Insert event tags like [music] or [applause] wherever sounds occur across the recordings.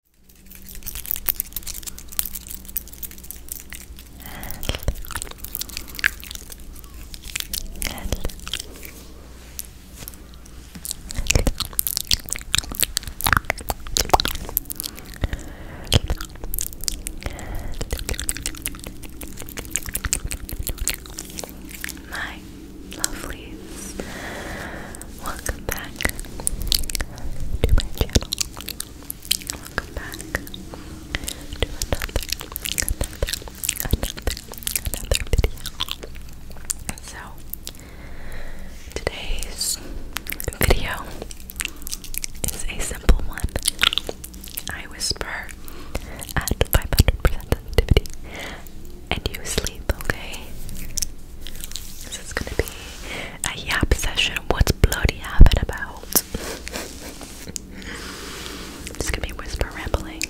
My lovelies, Welcome back to my channel. Welcome back to another, another, another, another video. So, today's video is a simple one. I whisper at 500% sensitivity and you sleep, okay? This is gonna be a yap session. What's bloody yapping about? It's going be whisper rambling.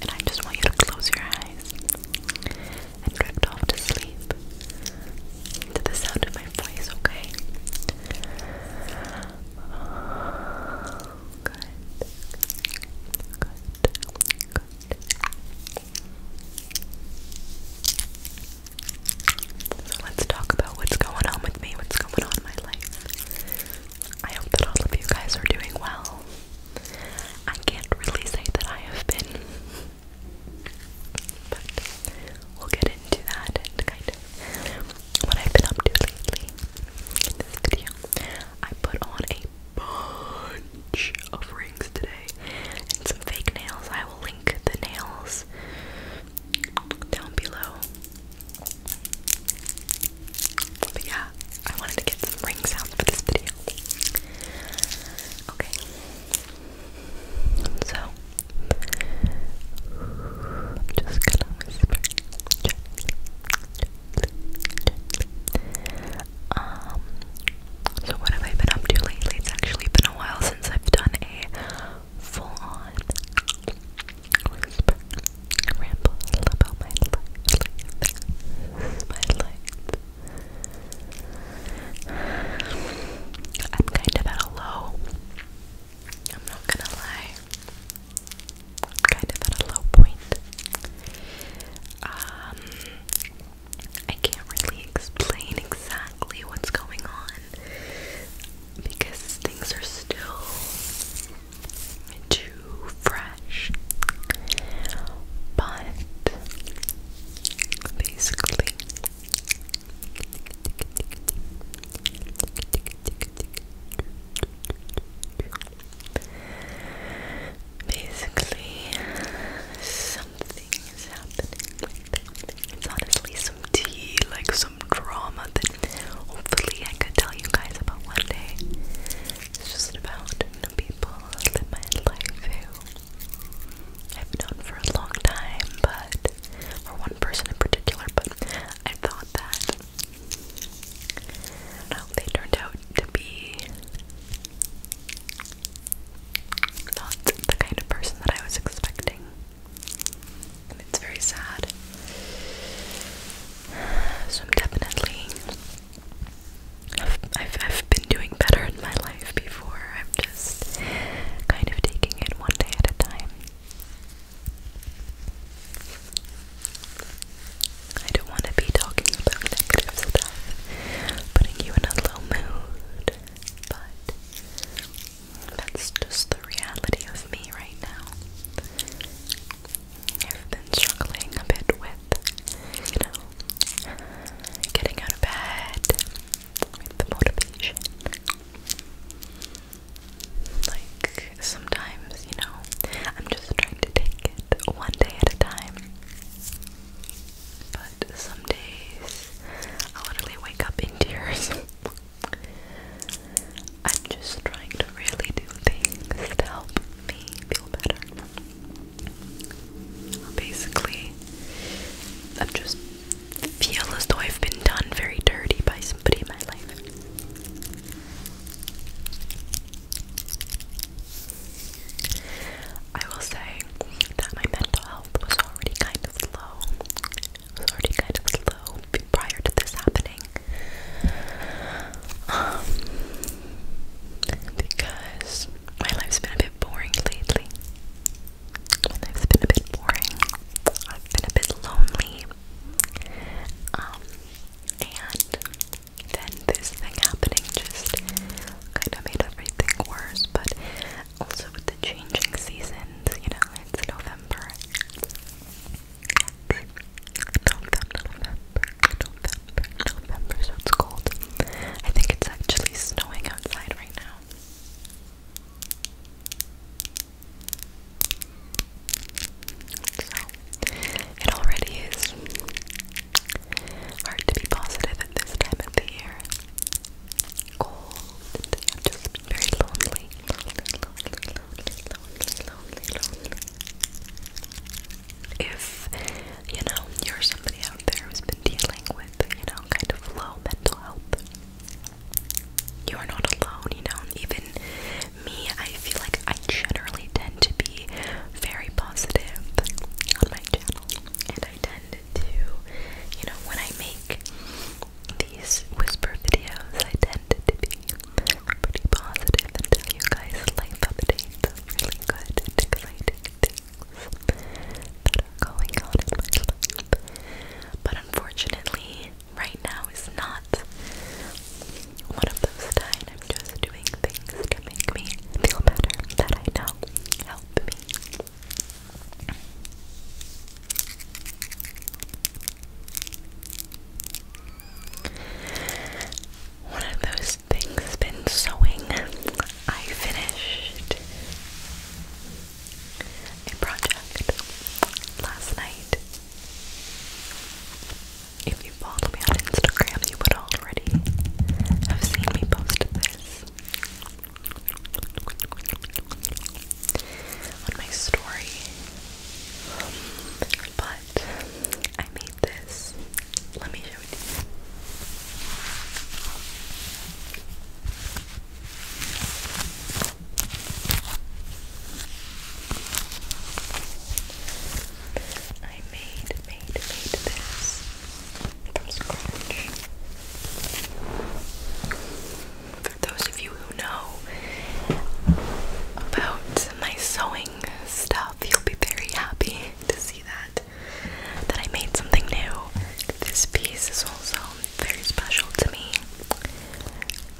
And I just want you to close your eyes and drift off to sleep to the sound of my voice, okay? Good. Good. So let's talk about what's going on with me, what's going on my life. I hope that all of you guys are doing well. I can't really say that I have been, but we'll get into that and kind of what I've been up to lately in this video. I put on a bunch of rings today and some fake nails. I will link the nails down below. But yeah, I wanted to get some ring sounds for this video. Okay. So, I'm just gonna um, so what have I been up to lately? It's actually been a while since I've done a full-on ramble about my life. My life. I'm kind of at a low. I'm not gonna lie. I'm kind of at a low point um, I can't really explain exactly what's going on because things are still too fresh. But basically, Basically, something is happening It's honestly some tea, like some drama that hopefully I could tell you guys about one day. It's just about people in my life who I've known for a long time, but, for one person in particular, but I thought that I they turned out to be not the kind of person that I was expecting. it's very sad. So I'm definitely I've, I've been doing better in my life before. I'm just kind of taking it one day at a time. I don't want to be talking about negative stuff, putting you in a low mood, but that's just the reality of me right now. I've been struggling a bit with, you know, getting out of bed with the motivation. Like, sometimes, you know, I'm just trying to take one day at a time. But some days I literally wake up in tears. [laughs] I'm just trying to really do things to help me feel better. Basically, I'm just feel as though I've been done very dirty by somebody in my life. I will say that my mental health was already kind of low. already kind of low prior to this happening. Um, because my life's been a bit boring lately. My has been a bit boring. I've been a bit lonely. Um, and then this thing happening just kind of made everything worse. But also with the changing seasons, you know, it's November. November, November, November, so it's cold. I think it's actually snowing outside right now it already is hard to be positive at this time of the year. Cold, just very lonely. Lonely, lonely, lonely, lonely, lonely, lonely. If, you know, you're somebody out there who's been dealing with, you know, kind of low mental health, you are not alone, you know. Even me, I feel like I generally tend to be very positive on my channel, and I tend to, you know, when I make these whisper videos, I tend to be pretty positive and tell you guys life updates really good and exciting things that are going on But unfortunately, right now is not one of those times I'm just doing things to make me feel better that I know help me. One of those things been sewing. I finished a project last night. If you follow me on Instagram, you would already have seen me post this on my story. but I made this. Let me show you. I made, made, made this from scratch. For those of you who know about my sewing stuff, you'll be very happy to see that that I made something new. This piece is also very special to me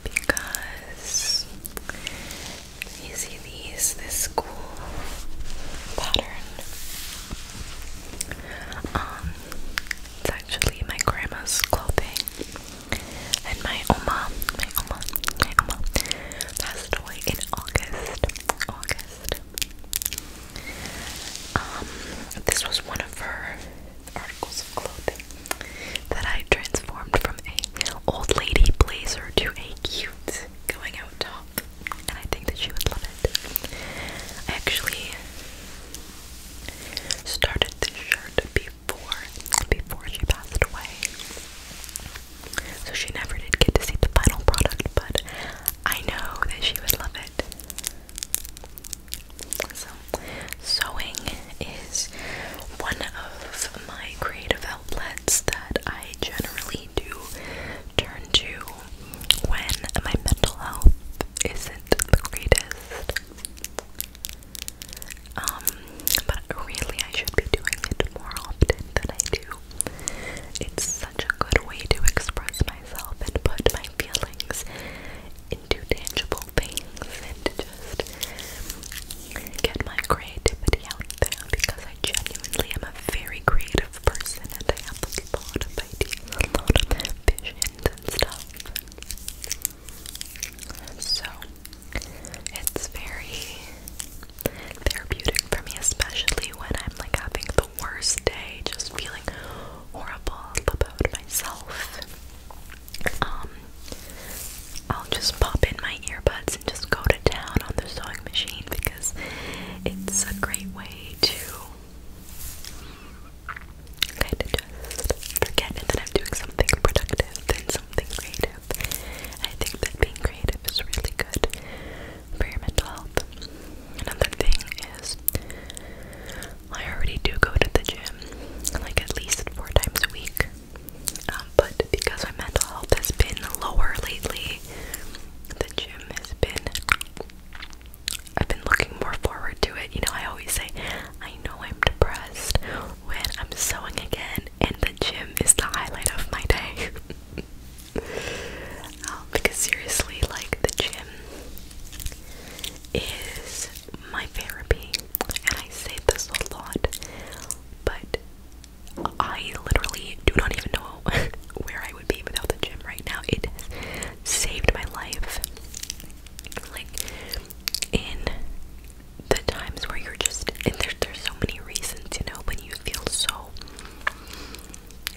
because you see these, this school pattern. Um, it's actually my grandma's clothing. And my oma, my oma, my oma passed away in August. August. Um, this was one of her articles of clothing that I transformed from a old lady blazer to a cute going out top, and I think that she would love it. I actually started this shirt before before she passed away, so she never did get to see the final product, but I know that she would love it. So, sewing is one of my creative outlets that I I generally do turn to when my mental health isn't the greatest. Um, but really, I should be doing it more often than I do. It's such a good way to express myself and put my feelings into tangible things and just get my creativity out there because I genuinely am a very creative person and I have a lot of ideas, a lot of visions and stuff. So it's very therapeutic for me, especially when I'm like having the worst day, just feeling horrible about myself. Um, I'll just pop in my earbuds and just go to town on the sewing machine because it's a great way to kind of just forget that I'm doing something productive and something creative. I think that being creative is really good for your mental health. Another thing is, I already do go to the gym like at least four times a week. Um, but because my mental health has been lower lately, the gym has been. I've been looking more forward to it. You know, I always say, I know I'm depressed when I'm sewing again, and the gym is the highlight of my day. [laughs] um, because seriously, like, the gym is my therapy, and I say this a lot, but I literally do not even know [laughs] where I would be without the gym right now. It saved my life. Like, in the times where you're just, and there, there's so many reasons, you know, when you feel so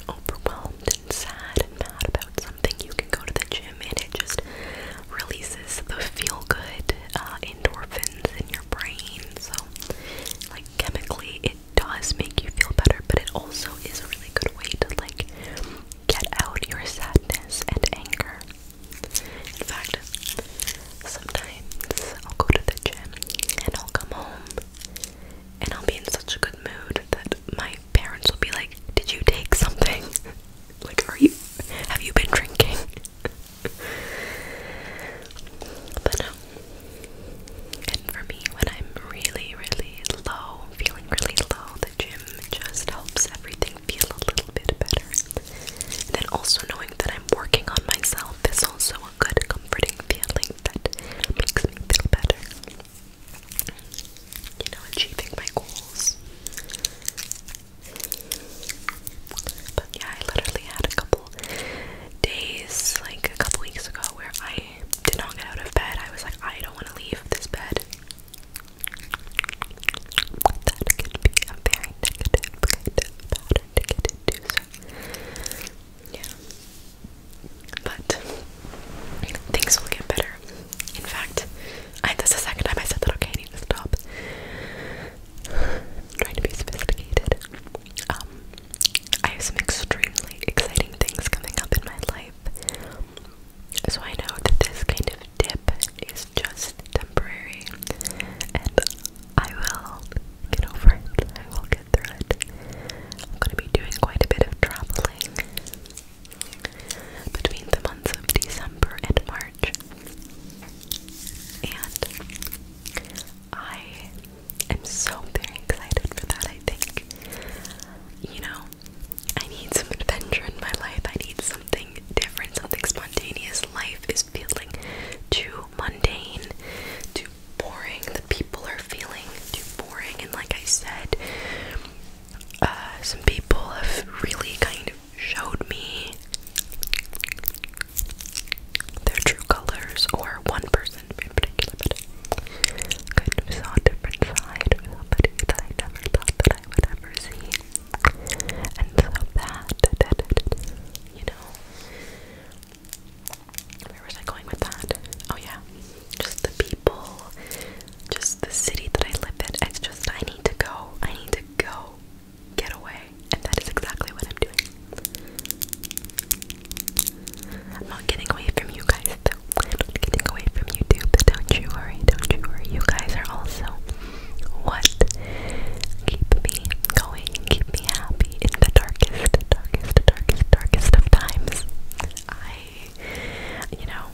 overwhelmed and sad and mad about something, you can go to the gym and it just releases the feel good uh, endorphins in your brain. So, like, chemically, it does make you feel better, but it also is a really good way to, like, get out your sadness and anger. In fact, sometimes I'll go to the gym and I'll come home and I'll be in such a good mood that my parents will be like, Did you take something? [laughs] like, are you, have you been drinking? but no. And for me, when I'm really, really low, feeling really low, the gym just helps everything feel a little bit better. And then also knowing that I'm working on myself is also a good, comforting feeling that makes me feel better. You know, achieving my goals. But yeah, I literally had a couple days, like a couple weeks ago, where I did not get out of bed. I was like, I don't want to leave this bed. yeah. But things will get better. In fact, I, that's the second time I said that, okay, stop trying to be sophisticated. Um, I have some extremely exciting things coming up in my life. So I know that this kind of dip is just temporary and I will get over it. I will get through it. I'm going to be doing quite a bit of traveling between the months of December and March. And I am so very excited for that. I think, you know, I need some adventure in my life. I need something different, something spontaneous. Life is feeling too mundane, too boring. The people are feeling too boring, and like I said, uh, some people have really kind of showed me their true colors, or one person in particular, but I kind of saw a different side of somebody that I never thought that I would ever see. And so that, that, that, that you know, where was I going with that? Oh yeah, just the people, just the city that I live in. It's just I need to go. I need to go get away, and that is exactly what I'm doing. I'm not getting away from you guys, though. I'm not getting away from YouTube. Don't you worry, don't you worry. You guys are also what keep me going, keep me happy in the darkest, darkest, darkest, darkest of times. I, you know,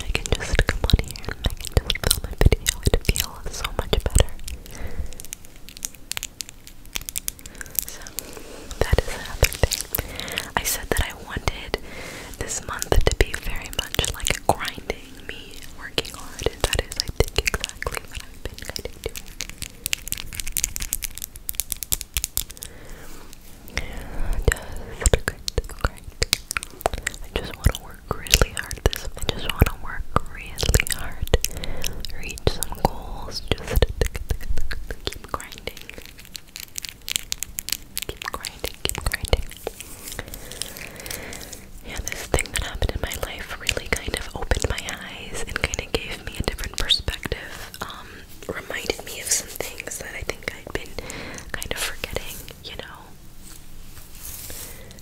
I can just come on here and I can just film a video. It feels so much better. So that is another thing. I said that I wanted this month to be very much like grinding me, working hard, and that is, I think, exactly what I've been kind of doing. Just great, great. I just want to work really hard this I just want to work really hard reach some goals just keep grinding keep grinding keep grinding yeah this thing that happened in my life really kind of opened my eyes and kind of gave me a different perspective um reminded me of some things that I think I'd been kind of forgetting you know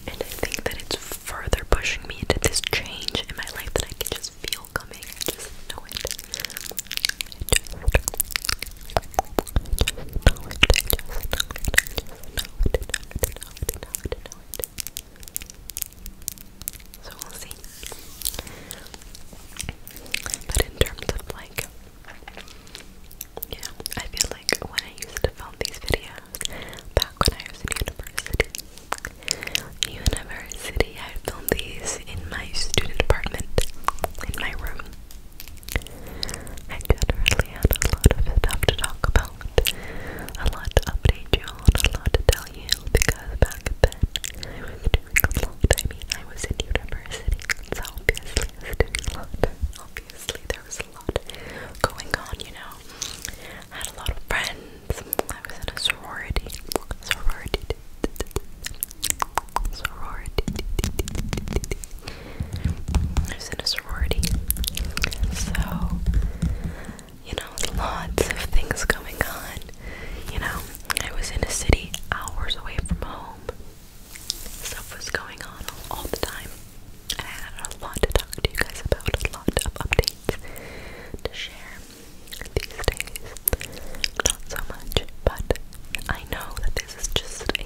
and I think that it's further pushing me into this change in my life that I can just feel coming. just know it. So we'll see. But in terms of like, yeah, I feel like when I used to film these videos, back when I was in university. University, I filmed these in my student apartment, in my room. I generally had a lot of stuff to talk about, a lot to update you on, a lot to tell you, because back then I was a lot. I mean, I was in university, so obviously I was a lot. Obviously, there was a lot going on, you know. I had a lot of friends. I was in a sorority. Sorority. Sorority. I was in a sorority. So, you know, lots of things going on. You know, I was in a city hours away from home. Stuff was going on all the time. I had a lot to talk to you guys about, a lot of updates to share these days. Not so much, but I know that this is just a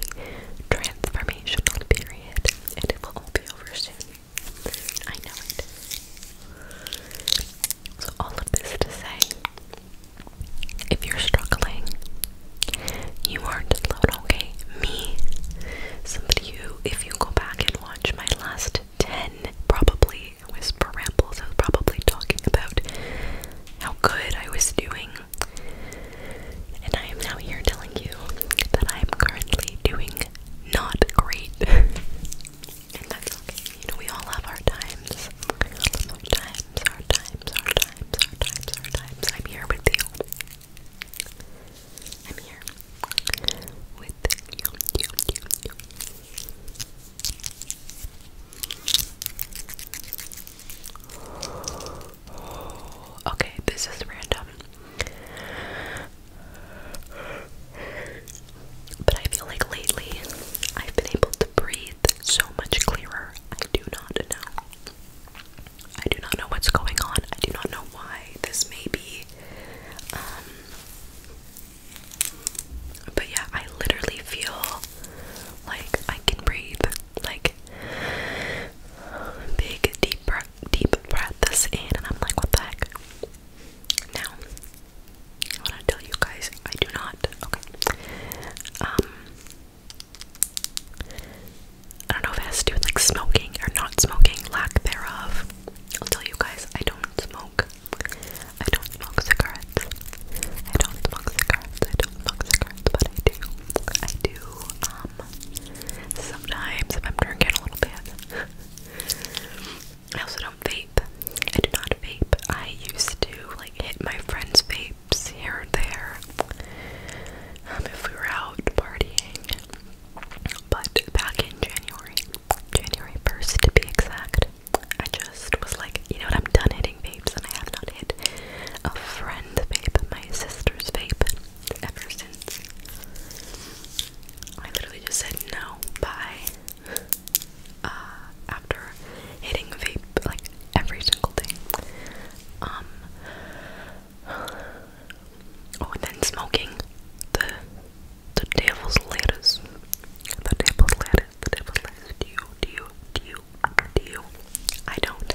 transformational period and it will all be over soon. I know it. So, all of this to say, if you're struggling, you aren't alone okay? Me, somebody who, if you go back and watch my last 10 probably whisper rambles, I was probably talking about how good I was doing. And I am now here telling you that I am currently doing not great. [laughs] and that's okay. You know, we all have our times. our times, our times, our times, our times, our times. I'm here with you. I'm here with you, Okay, this is random. But I feel like lately I've been able to breathe so much clearer. I do not know. I do not know what's going on. I do not know why this may be. Um, but yeah, I literally feel like I can breathe. Like big deep deep breaths in, and I'm like, what the heck? Now, I want to tell you guys, I do not. Okay. Um, I don't know if it has to do with like smoking or not smoking, lack thereof. I'll tell you guys, I don't smoke. I don't smoke cigarettes. I don't smoke cigarettes. I don't smoke cigarettes, but I do. I do. Um, sometimes if I'm drinking a little bit. I also don't vape. I do not vape. I used to like hit my friends' vapes here and there. Um, if we were out partying, but back in January, January 1st to be exact, I just was like, you know what, I'm done hitting vapes, and I have not hit a friend's vape, my sister's vape, ever since. I literally just said no, by Uh, after hitting vape like every single day. Um, Oh, and then smoking the the devil's lettuce. The devil's lettuce. The devil's lettuce. Do you? Do you? Do you? Do you? I don't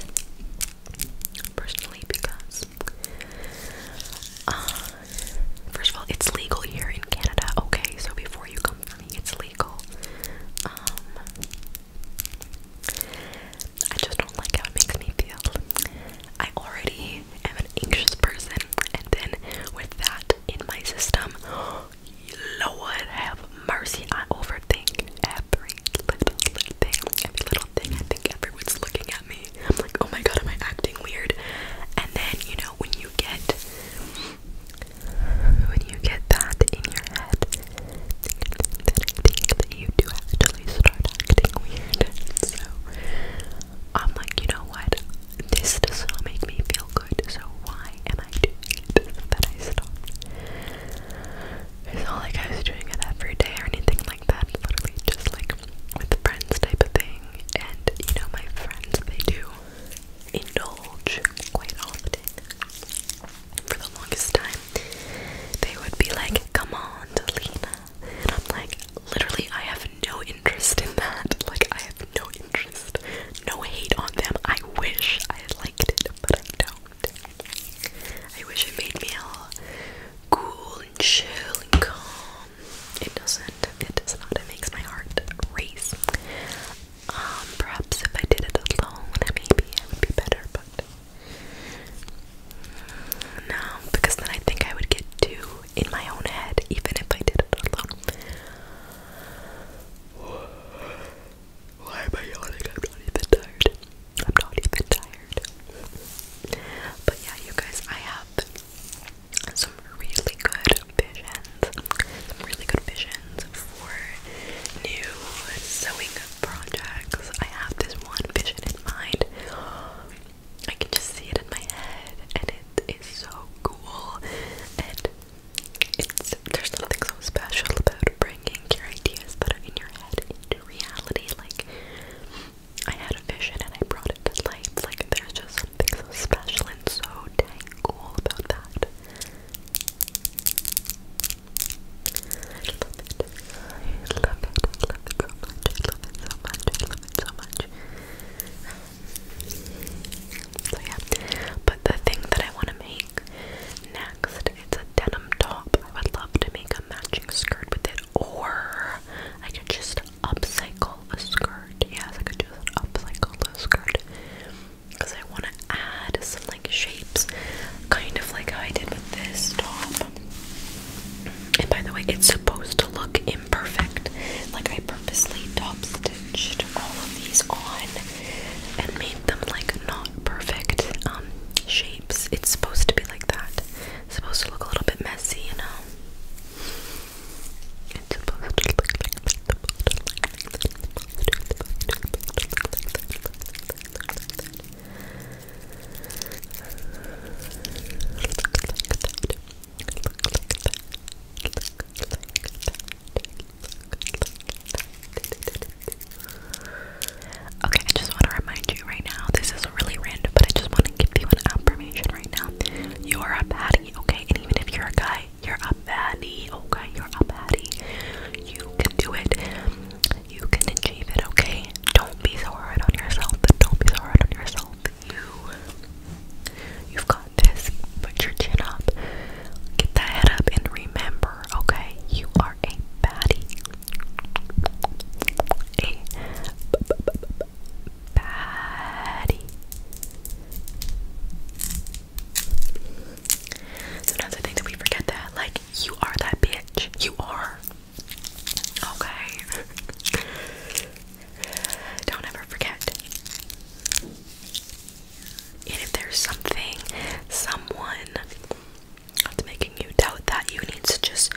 personally because uh, first of all, it's legal here in Canada. Okay, so before you come for me, it's legal. Um, I just don't like how it makes me feel. I already am an anxious person, and then with that in my system, Lord have mercy, I overthink every little, little thing. Every little thing, I think everyone's looking at me. I'm like, oh my god, am I acting weird? And then, you know, when you get when you get that in your head, then I think that you do have to actually start acting weird. So I'm like, you know what? This does not make me feel good, so why am I doing it? That I stopped. It's not like I was doing it every day or anything like that. Literally just like with friends type of thing. And you know, my friends, they do indulge quite often. For the longest time, they would be like, Come on, Delina, and I'm like, literally, I have no interest in that. Like, I have no interest. No hate on them. I wish I liked it, but I don't. I wish it made me all cool and chill and calm. It doesn't. It does not. It makes my heart race. Um, perhaps if I did it alone, maybe I would be better, but no, because then I think I would get two in my own head, even if I did it alone. Why am I yawning? I'm not even tired. I'm not even tired. But yeah, you guys, I have some really good visions. Some really good visions for new sewing projects. I have this one vision in mind I can just see it in my head, and it is so cool. And it's there's nothing so special about bringing your ideas that are in your head into reality. Like I had a vision and I brought it to light. Like there's just something so special and so dang cool about that. I love it. love it so much. love it so much. love it so much. So yeah. But the thing that I want to make next, it's a denim top. I would love to make a matching skirt with it, or I could just upcycle a skirt. Yes, I could just upcycle a skirt. Because I want to add some like shapes, kind of like I did with this top. And by the way, it's supposed to look imperfect. Like I purposely top stitched all of these on and made them like not perfect um, shapes. It's supposed to be like that. supposed to look a little bit messy, you know. Okay, I just want to remind you right now, this is really random, but I just want to give you an affirmation right now. You are a patty, okay? And even if you're a guy, you're a patty, okay? You're a patty. You can do it. You can achieve it, okay? Don't be so hard on yourself. Don't be so hard on yourself. You, you've got this. Put your chin up. Get that head up and remember, okay? You are a baddie. A b -b -b -b baddie. Sometimes I think that we forget that. Like, you are that bitch. You are. Okay. Don't ever forget. if there's something, someone that's making you doubt that, you need to just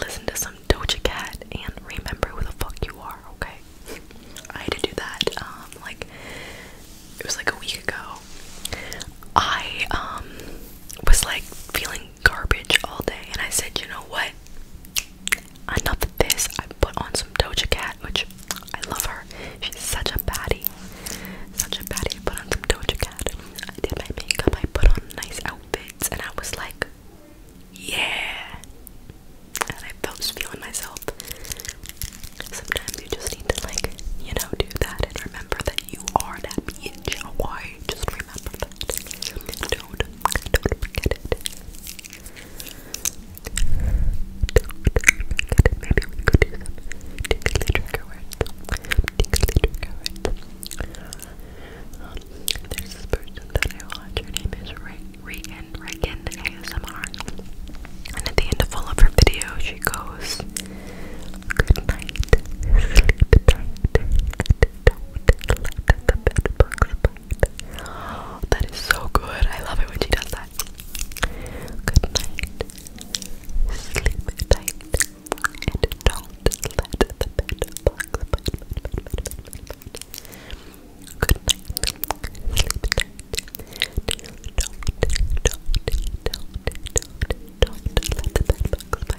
listen to some Doja Cat and remember who the fuck you are, okay? I had to do that, um, like, it was like a week ago. I, um, was like feeling garbage all day, and I said, you know what? Enough of this. I put on some Doja Cat, which I love her. She's such a baddie. Such a baddie. I put on some Doja Cat. I did my makeup. I put on nice outfits, and I was like, yeah. And I felt just feeling myself. Sometimes you just need to, like, you know, do that and remember that you are that bitch. Why? Just don't, forget it. Don't forget it. Maybe we could do some tingly trigger words. Tingly trigger words. Um, there's this person that I watch. Her name is Regan, Regan ASMR. And at the end of all of her videos, she goes, Good night, sleep tight, Oh, that is so good. I love it when she does that. Good night. Sleep tight. don't let the bed bite. Good night. Sleep tight. Don't, don't, don't, don't, don't let the bed bite.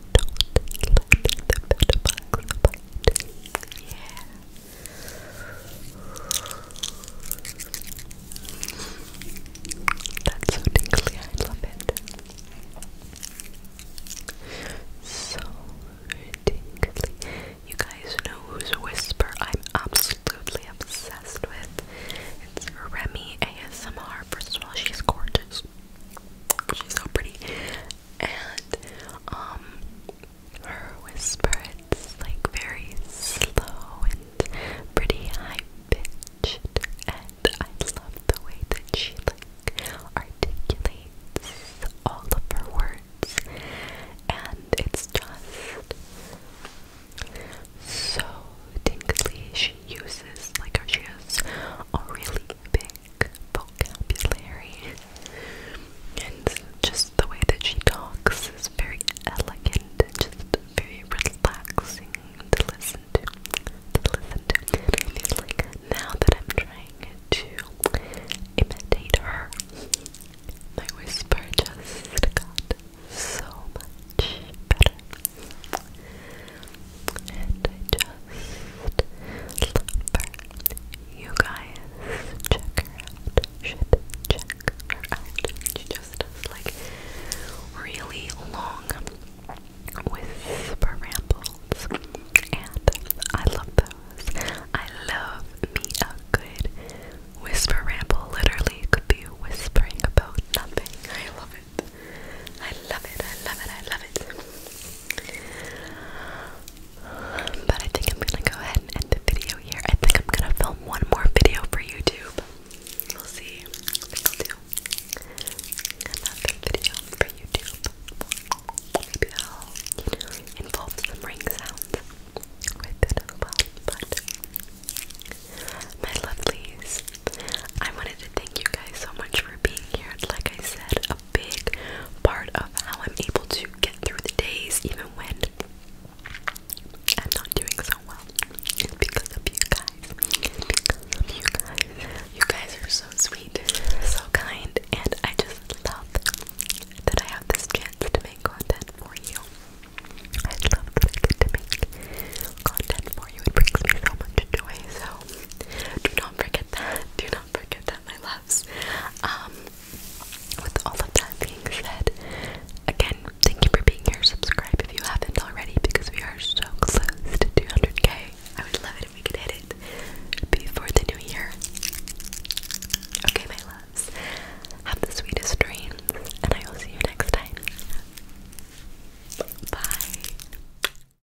That's so tingly, I love it. So tingly. You guys know who's a whisper I'm absolutely obsessed with. It's Remy ASMR. First of all, she's gorgeous. She's so pretty and um her whisper it's like very slow and pretty high pitched and I love the way that she like articulates all of her words and it's just so tingly she uses like she has a really big like vocabulary and just the way that she talks is very elegant just very relaxing to listen to. To listen to. And it's like now that I'm trying to imitate her, my whisper just got so much better. And just love You guys, check her out. Should check her out. She just does like really long whisper rambles. And I love those. I love me a good whisper ramble. Literally, could be whispering about nothing. I love it. I love it. I love it. I love it. But I think I'm gonna go ahead and end the video here. I think I'm gonna film one more video for YouTube. We'll see. another video for YouTube. Maybe that'll involve some ring sounds But my lovelies, I wanted to thank you guys so much for being here. Like I said, big part of how I'm able to get through the days, even when I'm not doing so well. It's because of you guys. You guys are so sweet, so kind, and I just love that I have this chance to make content for you. I love that I get to make content for you. It brings me so much joy. So do not forget that. Do not forget that, my loves. Um, with all of that being said, again, thank you for being here. Subscribe if you haven't already because we are so close to 200k. I would love it if we could hit it before the new year. Okay, my loves, have the sweetest dreams, and I will see you next time. Bye.